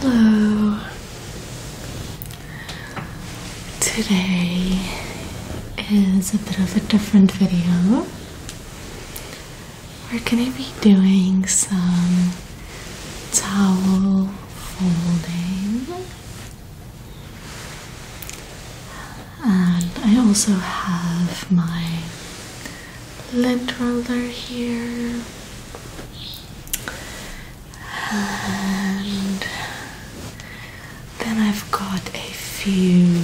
Hello. Today is a bit of a different video. We're going to be doing some towel folding and I also have my lint roller here and then I've got a few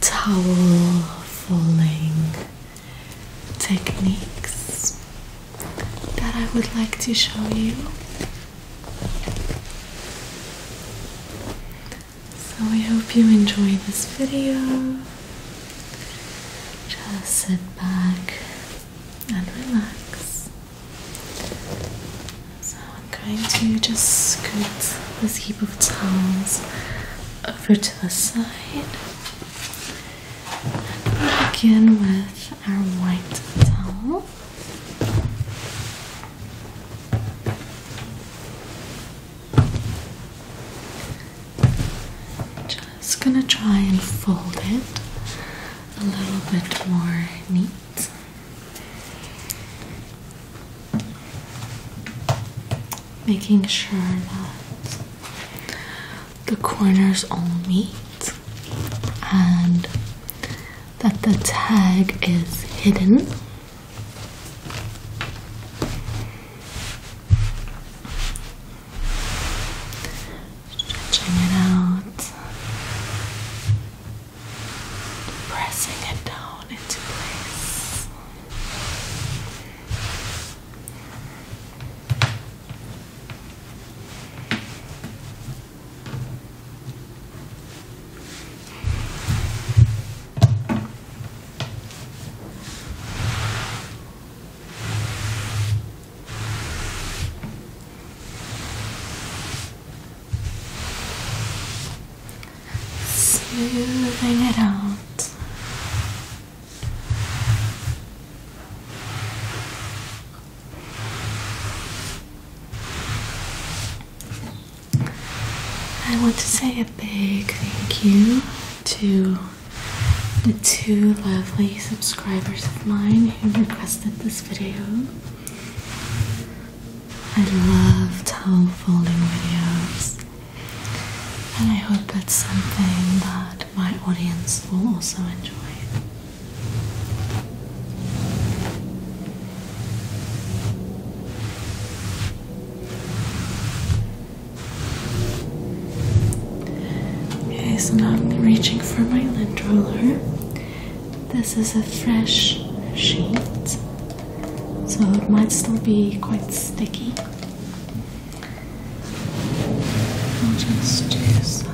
towel falling techniques that I would like to show you so I hope you enjoy this video. Just sit back and relax. So I'm going to just scoot this heap of towels over to the side. And begin with our white towel. Just gonna try and fold it a little bit more neat. Making sure that the corners all meet and that the tag is hidden. Stretching it out, pressing it down into place. Smoothing it out. I want to say a big thank you to the two lovely subscribers of mine who requested this video. I love towel folding videos, and I hope it's something that my audience will also enjoy. Okay, so now I'm reaching for my lint roller. This is a fresh sheet, so it might still be quite sticky. I'll just do some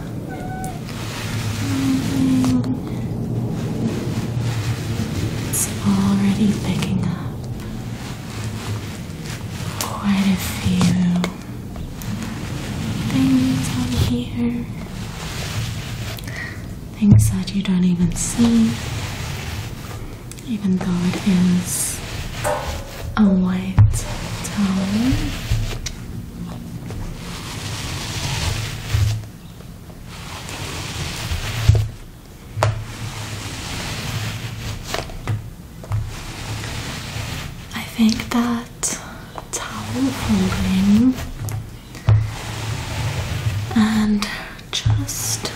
it's already picking up quite a few things on here. Things that you don't even see, even though it is a white town. I think that towel folding and just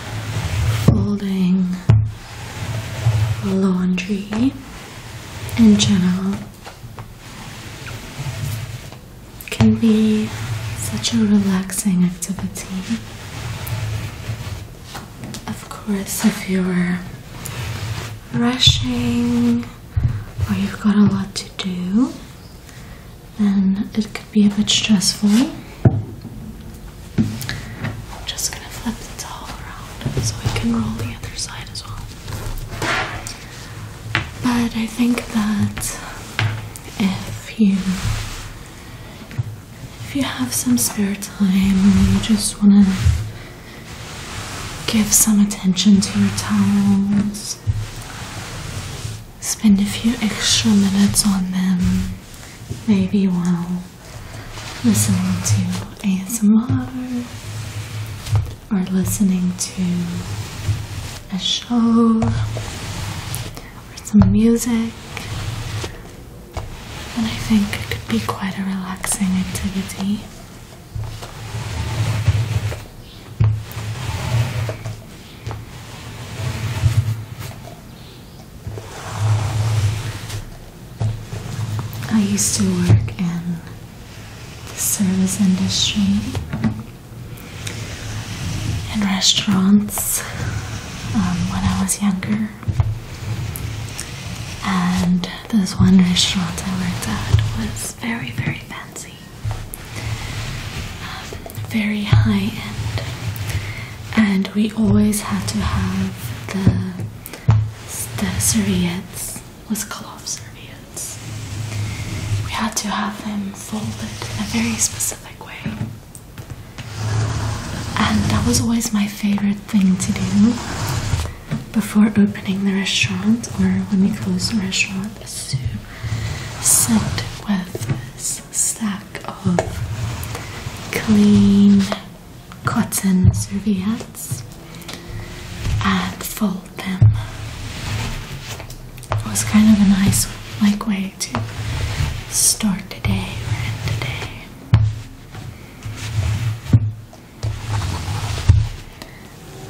folding laundry in general can be such a relaxing activity. Of course, if you're rushing or you've got a lot to do, then it could be a bit stressful. I'm just gonna flip the towel around so we can roll the other side as well. But I think that if you if you have some spare time and you just want to give some attention to your towels, spend a few extra minutes on them, maybe while listening to ASMR or listening to a show or some music, and I think it could be quite a relaxing activity. I used to work in the service industry and restaurants um, when I was younger. And this one restaurant I worked at was very, very fancy, um, very high end, and we always had to have the the serviettes with cloth serviettes. We had to have them folded in a very specific way. And that was always my favorite thing to do before opening the restaurant or when we closed the restaurant is to sit with this stack of clean cotton serviettes sides and fold them. It was kind of a nice like way to start the day or end the day.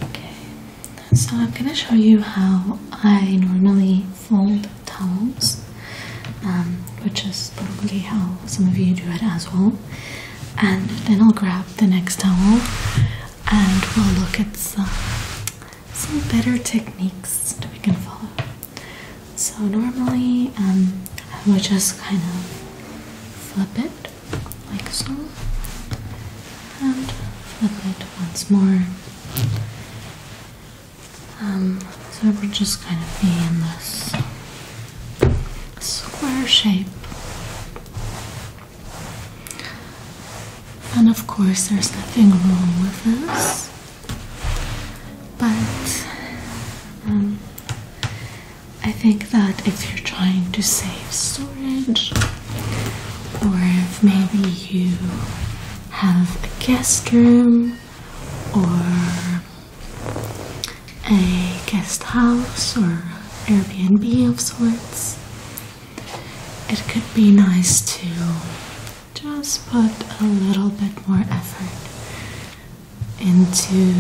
Okay, so I'm gonna show you how I normally fold towels, um, which is probably how some of you do it as well and then I'll grab the next towel and we'll look at some some better techniques that we can follow. So normally um, I would just kind of flip it like so and flip it once more. Um, so it would just kind of be in this square shape and of course, there's nothing wrong with this, but um, I think that if you're trying to save storage, or if maybe you have a guest room or a guest house or Airbnb of sorts. It could be nice to just put a little bit more effort into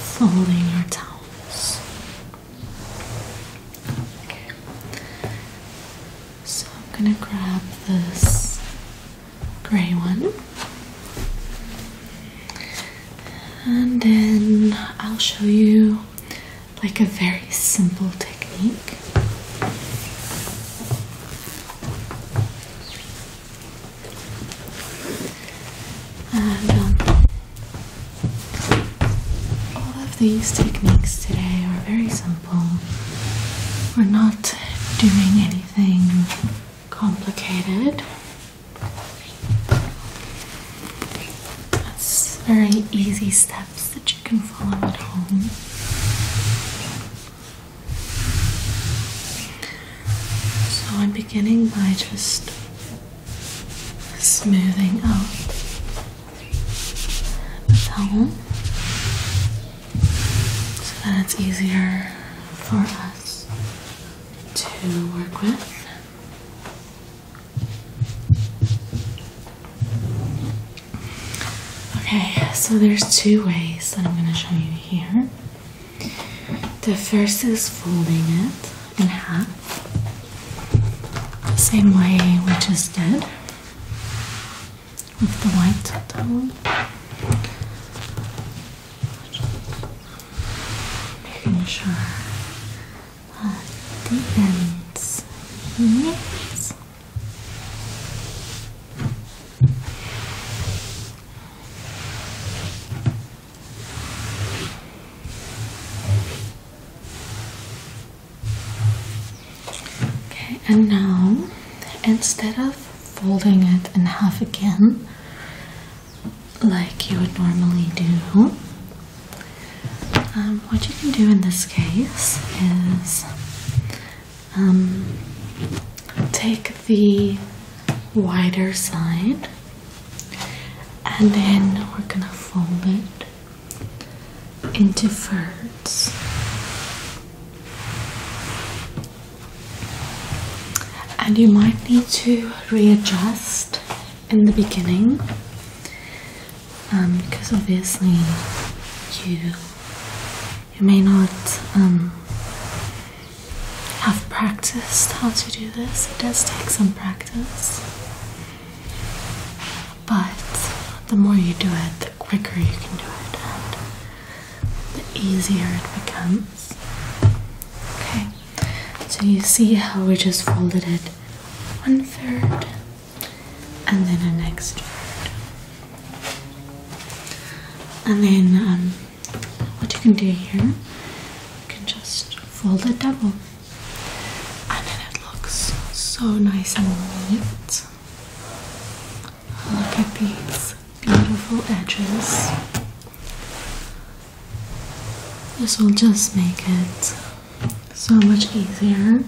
folding your towels. Okay. So I'm going to grab this gray one and then I'll show you like a very simple technique. And um, all of these techniques today are very simple. We're not doing anything complicated. That's very easy steps that you can follow at home. So I'm beginning by just smoothing out the towel so that it's easier for us to work with. Okay, so there's two ways that I'm going to show you here. The first is folding it in half, same way we just did with the white towel measure uh, the Yes. Okay, and now instead of folding it in half again, like you would normally do. Um, what you can do in this case is um, take the wider side and then we're going to fold it into thirds and you might need to readjust in the beginning because um, obviously you you may not um, have practiced how to do this. It does take some practice, but the more you do it, the quicker you can do it, the easier it becomes. Okay, so you see how we just folded it one third and then an next, third. And then um, what you can do here, you can just fold it double. And then it looks so nice and neat. Look at these beautiful edges. This will just make it so much easier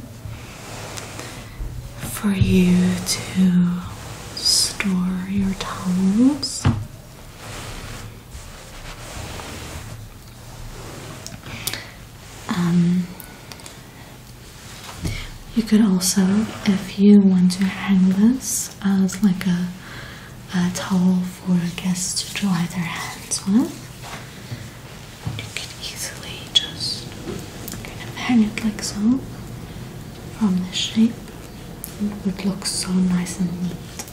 for you to store your towels. Um, you could also, if you want to hang this as like a a towel for guests to dry their hands with. You can easily just kind of hang it like so from the shape. It would look so nice and neat.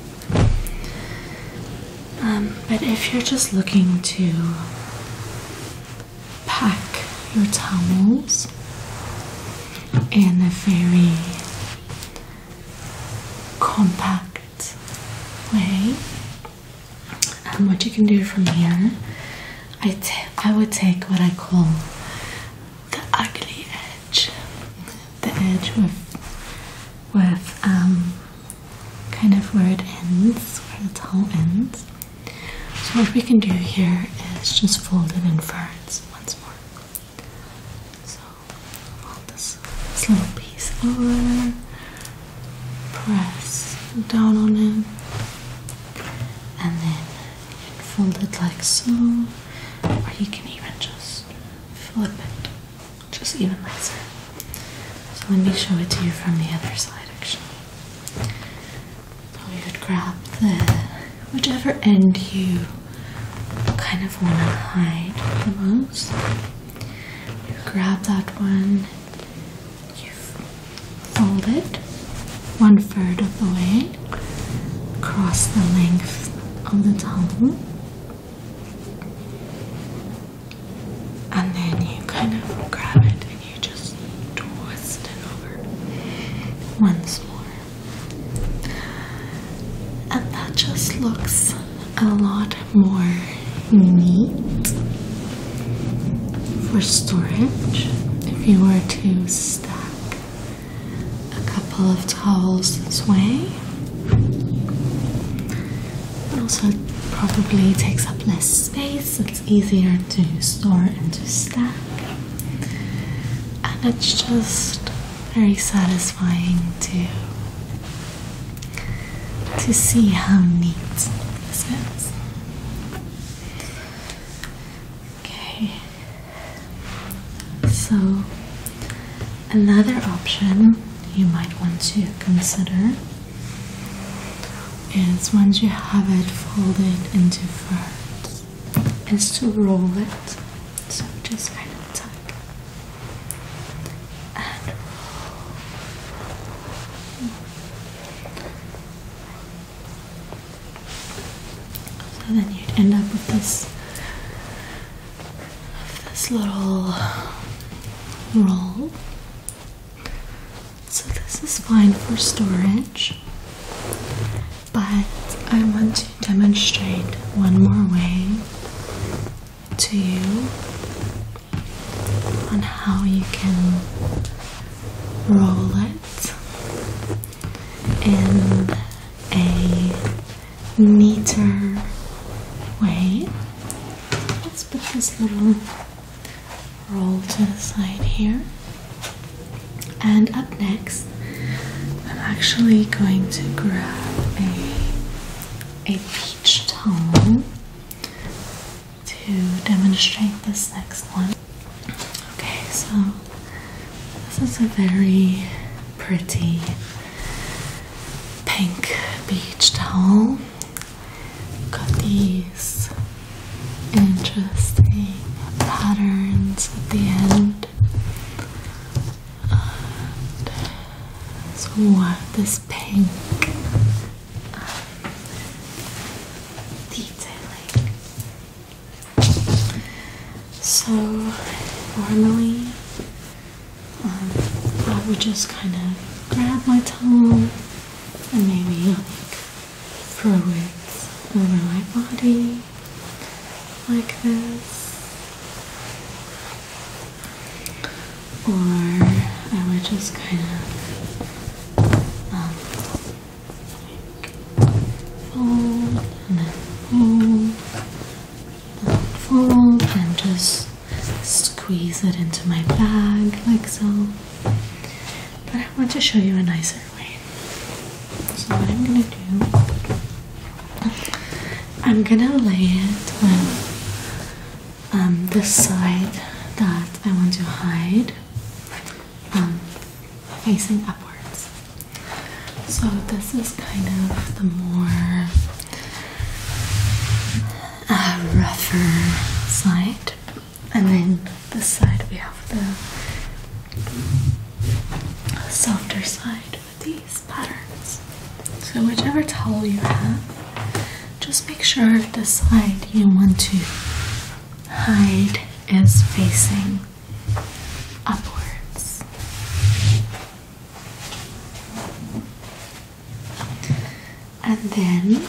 Um, but if you're just looking to pack your towels, in a very compact way. and what you can do from here, I, I would take what I call the ugly edge, the edge with with um, kind of where it ends, where the tail ends. So what we can do here is just fold it in first once more. So hold this, little piece over, press down on it, and then fold it like so, or you can even just flip it, just even nicer. So let me show it to you from the other side actually you could grab the whichever end you kind of want to hide the most. You grab that one, you fold it one third of the way across the length of the tongue. And then you kind of grab it and you just twist it over once more and that just looks a lot more neat for storage if you were to stack a couple of towels this way. It also probably takes up less space, it's easier to store and to stack and it's just very satisfying to to see how neat this is. Okay, so another option you might want to consider is once you have it folded into thirds. Is to roll it. So just kind of tug and roll. So then you'd end up with this this little roll. So this is fine for storage. But I want to demonstrate one more way to you on how you can roll it in a neater way. Let's put this little roll to the side here. And up next, I'm actually going to grab a, a peach tone to demonstrate this next one. Okay, so this is a very pretty pink peach tone. Got these interesting patterns at the end. so what this pink detailing. So normally um, I would just kind of grab my tongue and maybe Throw it over my body like this. Or I would just kind of um, fold and then um, fold, and just squeeze it into my bag like so. But I want to show you a nicer. So what I'm gonna do, I'm gonna lay it on um, the side that I want to hide, um, facing upwards. So this is kind of the more uh, rougher side and then this side we have the softer side with these patterns. So whichever towel you have, just make sure the side you want to hide is facing upwards. And then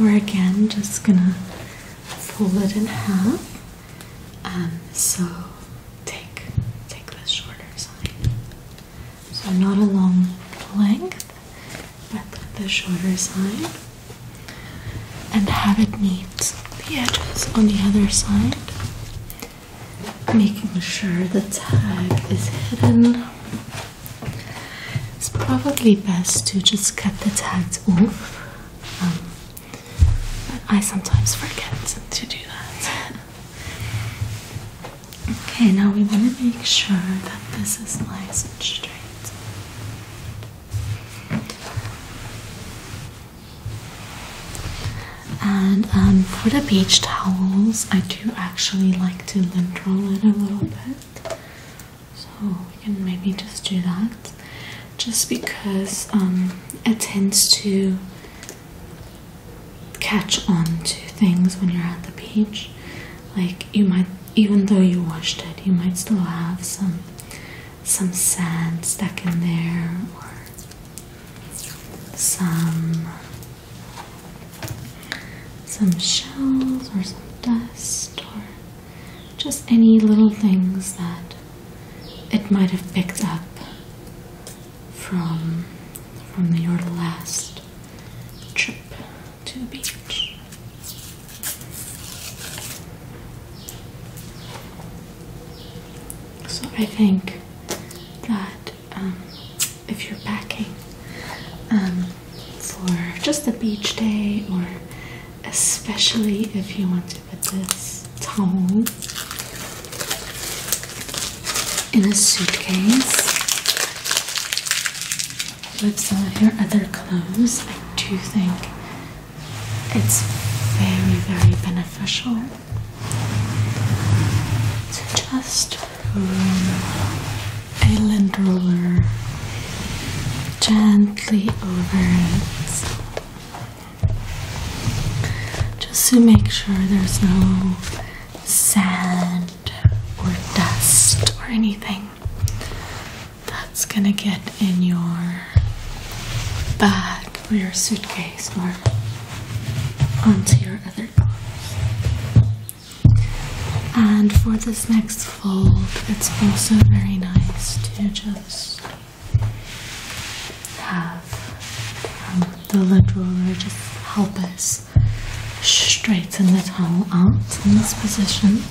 we're again just gonna fold it in half. Um, so take take the shorter side. So not a long length, but the shorter side, and have it meet the edges on the other side, making sure the tag is hidden. It's probably best to just cut the tags off. Um, but I sometimes forget to do that. okay, now we want to make sure that this is nice and straight. And um, for the beach towels, I do actually like to lint roll it a little bit. So we can maybe just do that just because um, it tends to catch on to things when you're at the beach. Like you might, even though you washed it, you might still have some some sand stuck in there or some some shells or some dust or just any little things that it might have picked up from from your last trip to the beach. So I think that um, if you're packing, um, for just a beach day or especially if you want to put this towel in a suitcase with some of your other clothes. I do think it's very, very beneficial to just island roller gently over it just to make sure there's no sand or dust or anything that's gonna get in your bag or your suitcase or onto your other clothes. And for this next fold, it's also very nice to just have um, the lid roller just help us straighten the towel out in this position.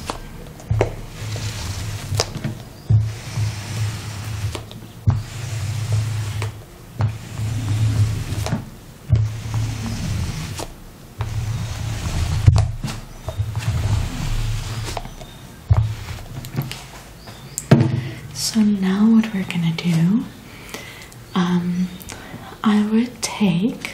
So now what we're gonna do, um, I would take.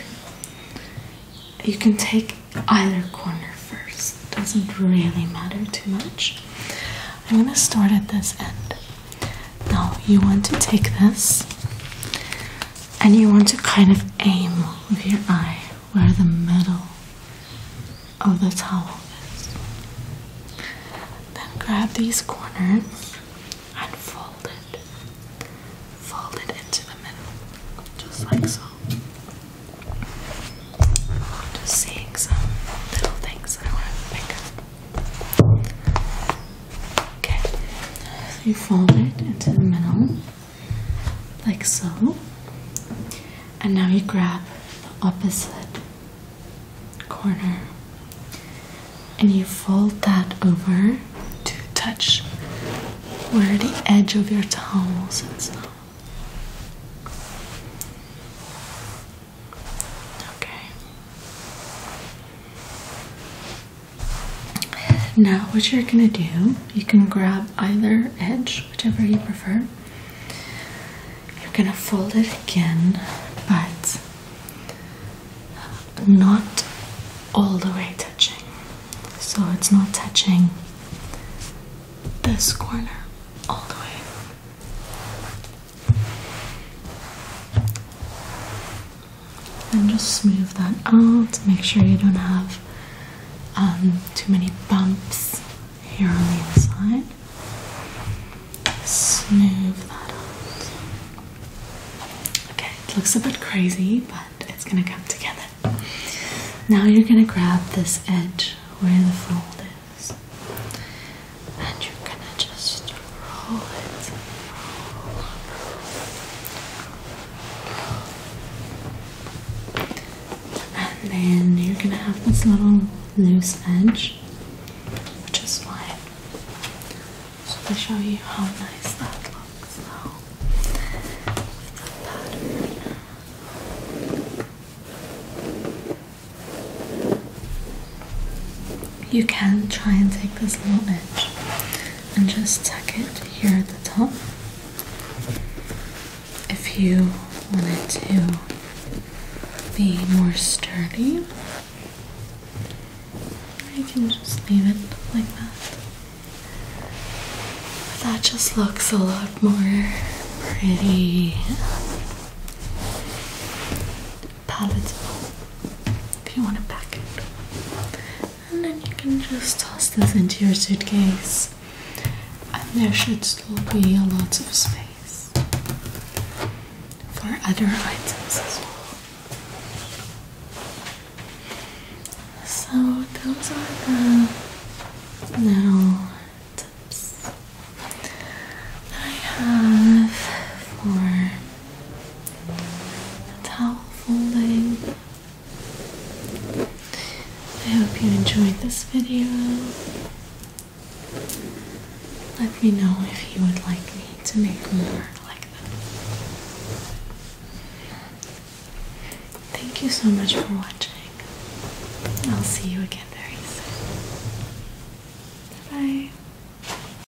You can take either corner first. doesn't really matter too much. I'm gonna start at this end. Now you want to take this and you want to kind of aim with your eye where the middle of the towel is. Then grab these corners and fold it. Fold it into the middle, just like so. Just seeing some little things that I want to pick up. Okay, so you fold it into the middle, like so. And now you grab the opposite corner and you fold that over to touch where the edge of your towel sits Okay. Now, what you're going to do, you can grab either edge, whichever you prefer. You're going to fold it again, but not all the way touching. So it's not touching this corner all the way and just smooth that out. Make sure you don't have um, too many bumps here on the inside. Smooth that out. Okay, it looks a bit crazy, but it's gonna come together. Now you're gonna grab this edge where the fold is, and you're gonna just and then you're gonna have this little loose edge, which is fine. So to show you how nice that looks now. With the pattern. You can try and take this little edge and just tuck it here at the top. If you want it to be more sturdy, you can just leave it like that. But that just looks a lot more pretty palatable if you want to pack it. And then you can just toss this into your suitcase, and there should still be a lot of space for other items as well. So, those are the little tips I have for a towel folding. I hope you enjoyed this video. Let me know if you would like me to make more like this. Thank you so much for watching. I'll see you again very soon. bye.